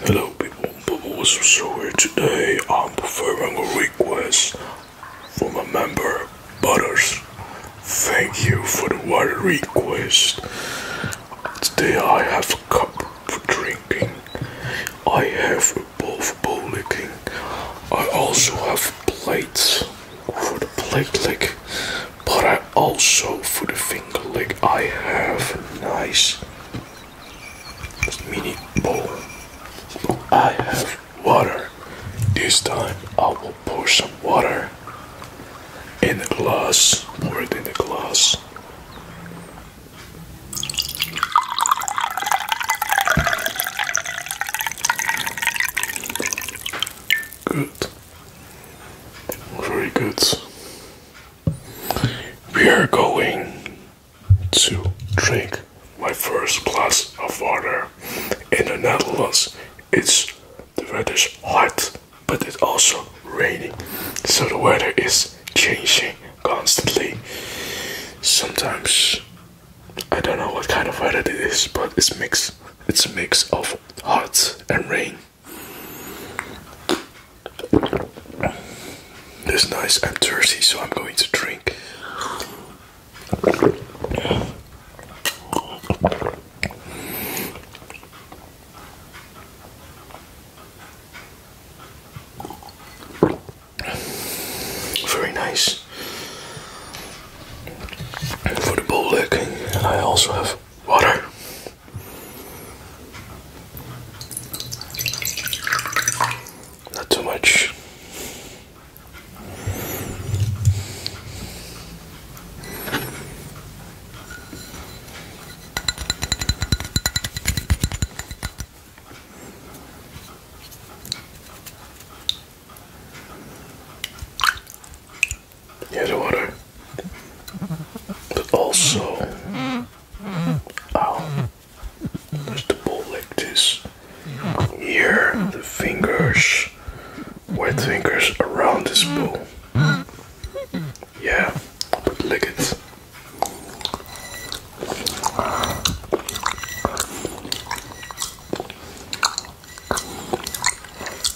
Hello people, Bubble Whistle so here today I'm performing a request from a member, Butters. Thank you for the water request. Today I have a cup for drinking. I have a bowl for bowl licking. I also have plates for the plate lick. But I also, for the finger lick, I have nice mini bowl. I have water. This time I will pour some water in the glass. Pour it in the glass. Good. Very good. We are going to drink my first glass of water in the Netherlands. It's the weather is hot, but it's also raining, so the weather is changing constantly. Sometimes I don't know what kind of weather it is, but it's mix. It's a mix of hot and rain. That's nice. I'm thirsty, so I'm going to drink. Very nice. For the bowl I also have water. Not too much near the water, but also oh, there's the ball like this. Here, the fingers, wet fingers around this ball. Yeah, but lick it.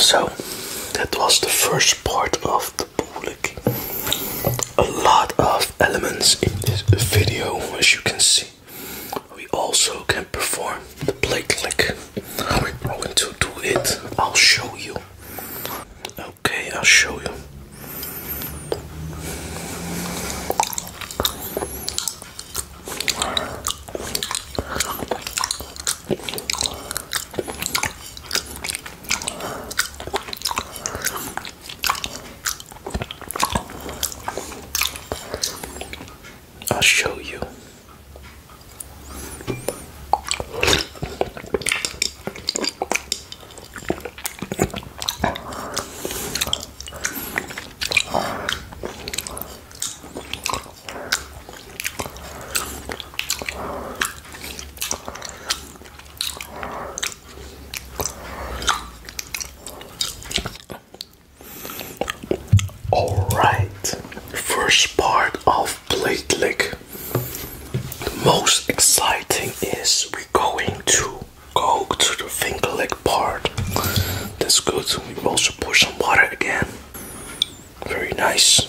So that was the first part of a lot of elements in this video as you can see we also can perform the play click how we're going to do it i'll show you okay i'll show you I'll show you. All right, first part of plate lick. The most exciting is we're going to go to the finger lick part. That's good. We also pour some water again. Very nice.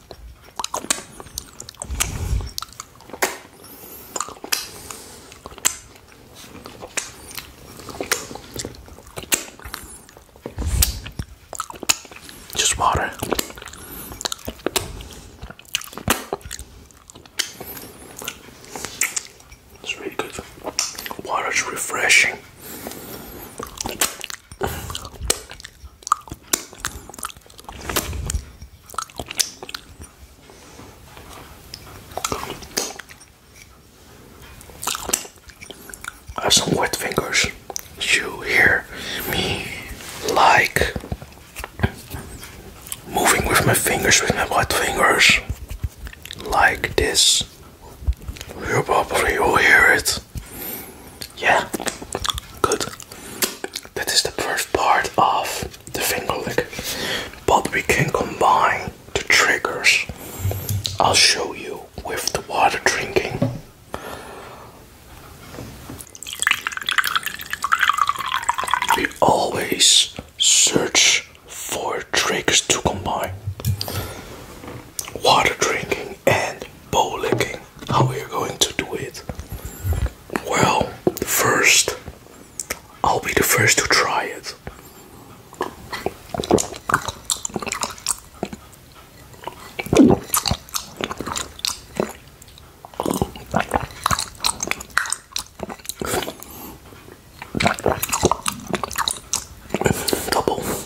Just water. It's really good. Water's refreshing. I have some wet fingers. You hear me like moving with my fingers, with my wet fingers, like this. You probably will hear it. Yeah, good. That is the first part of the finger lick, but we can combine the triggers. I'll show you with the water drinking. We always search for triggers to combine water drinking and bow licking. How are you going to do it? Well, first, I'll be the first to try it. Double.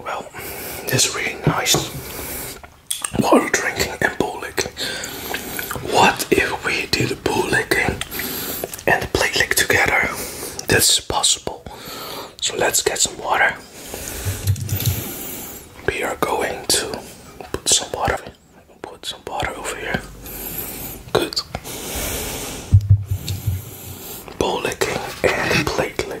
Well, this really nice water drinking and bull What if we did bull licking and the platelet together. That's possible. So let's get some water. We are going to put some water. Put some water over here. Good. Bowl licking and plate lick.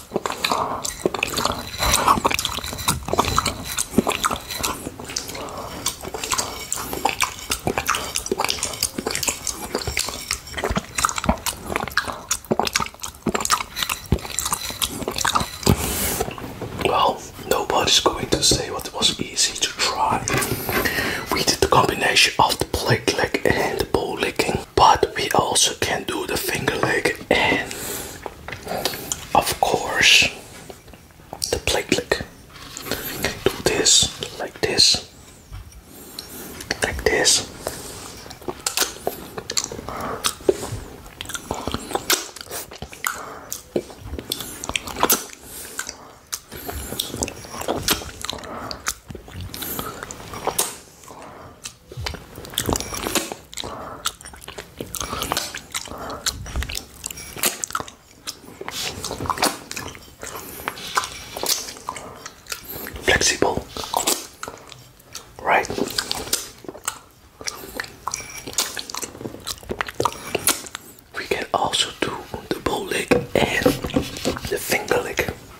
Well, nobody's going to say what was easy to try. We did the combination of the plate lick and the bowl licking but we also can do the finger lick and of course the plate lick. We can do this like this like this Flexible, right? We can also do the bow leg and the finger leg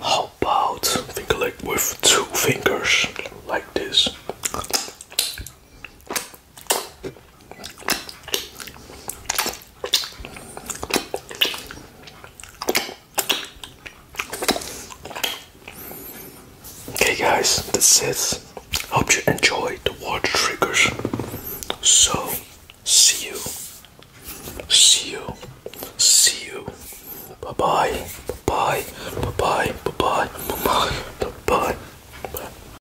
How about finger like with two fingers like this? Okay guys, that's it. Hope you enjoyed the water triggers. So, see you. See you. See you. Bye-bye. Bye-bye. Bye-bye. Bye-bye. Bye-bye. Bye-bye.